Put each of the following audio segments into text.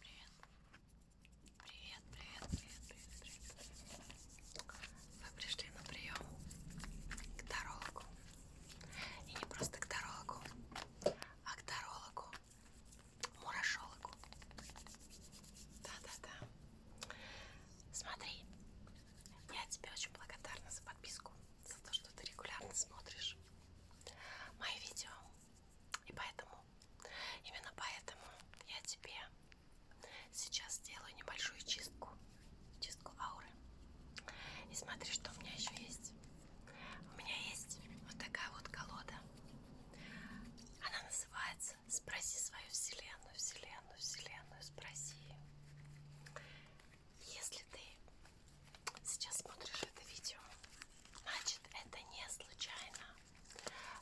Привет. Привет, привет, привет, привет, привет. Вы пришли на прием к дорологу. И не просто к дорологу, а к дорологу. Мурашологу. Да-да-да. Смотри, я тебе очень благодарна за подписку, за то, что ты регулярно смотришь мои видео. И поэтому, именно поэтому я тебе сейчас сделаю небольшую чистку, чистку ауры. И смотри, что у меня еще есть. У меня есть вот такая вот колода. Она называется «Спроси свою вселенную, вселенную, вселенную, спроси». Если ты сейчас смотришь это видео, значит, это не случайно.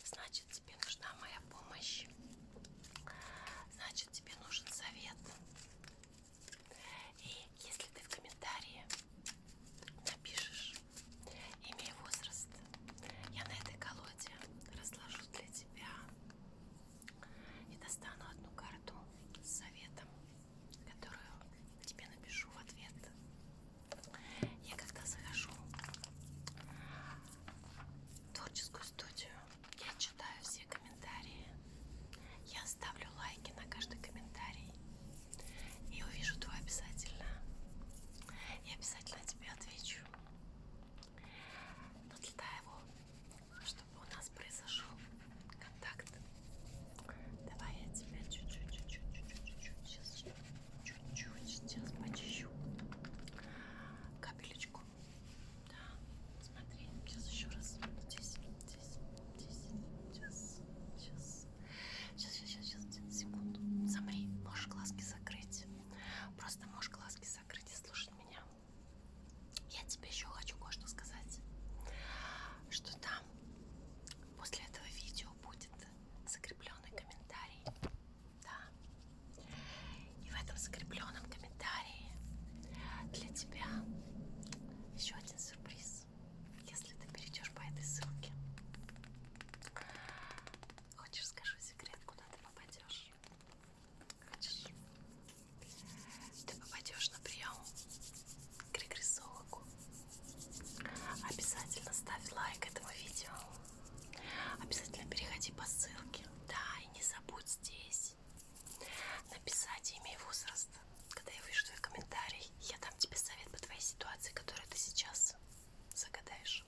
Значит, тебе нужна моя помощь. Значит, тебе нужен совет. И если ты в комментарии напишешь имя и возраст, я на этой колоде разложу для тебя и достану одну карту с советом которую тебе напишу в ответ. Я когда захожу в творческую студию, я читаю все комментарии. Я ставлю лайки на каждый комментарий. И увижу твой обязательно. Я обязательно тебе отвечу. Но для того, чтобы у нас произошел контакт. Давай я тебя чуть-чуть, чуть-чуть, чуть-чуть, сейчас чуть-чуть сейчас почищу капелечку. Да, смотри, сейчас еще раз. Здесь, здесь, здесь, сейчас, сейчас, сейчас, сейчас, сейчас, сейчас, секунду. Замри, можешь глазки закрыть. Просто можешь глазки закрыть и слушать меня. Я тебе еще хочу кое-что сказать, что там после этого видео будет закрепленный комментарий. Да. И в этом закрепленном комментарии для тебя еще один сюрприз. Если ты перейдешь по этой ссылке. Хочешь, скажу секрет, куда ты попадешь? Хочешь? Ты попадешь на прием к регрессологу. Обязательно ставь лайк этому видео. Обязательно переходи по ссылке. Да, и не забудь здесь написать имя и возраст. Когда я увижу твой комментарий, я дам тебе совет по твоей ситуации, которую ты сейчас загадаешь.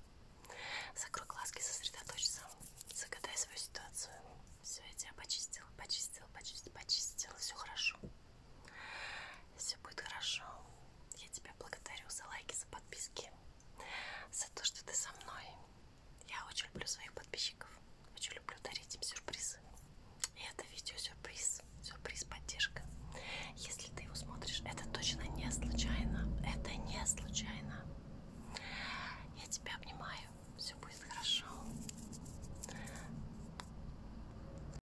Закрой глазки, сосредоточься. Загадай свою ситуацию. Все, я тебя почистила, почистила, почистила, почистила. Все хорошо. Все будет хорошо. Я тебя благодарю за лайки, за подписки, за то, что ты со мной. Я очень люблю своих подписчиков. Очень люблю дарить им сюрпризы. И это видео сюрприз. Сюрприз поддержка. Если ты его смотришь, это точно не случайно. Это не случайно. Я тебя обнимаю. Все будет хорошо.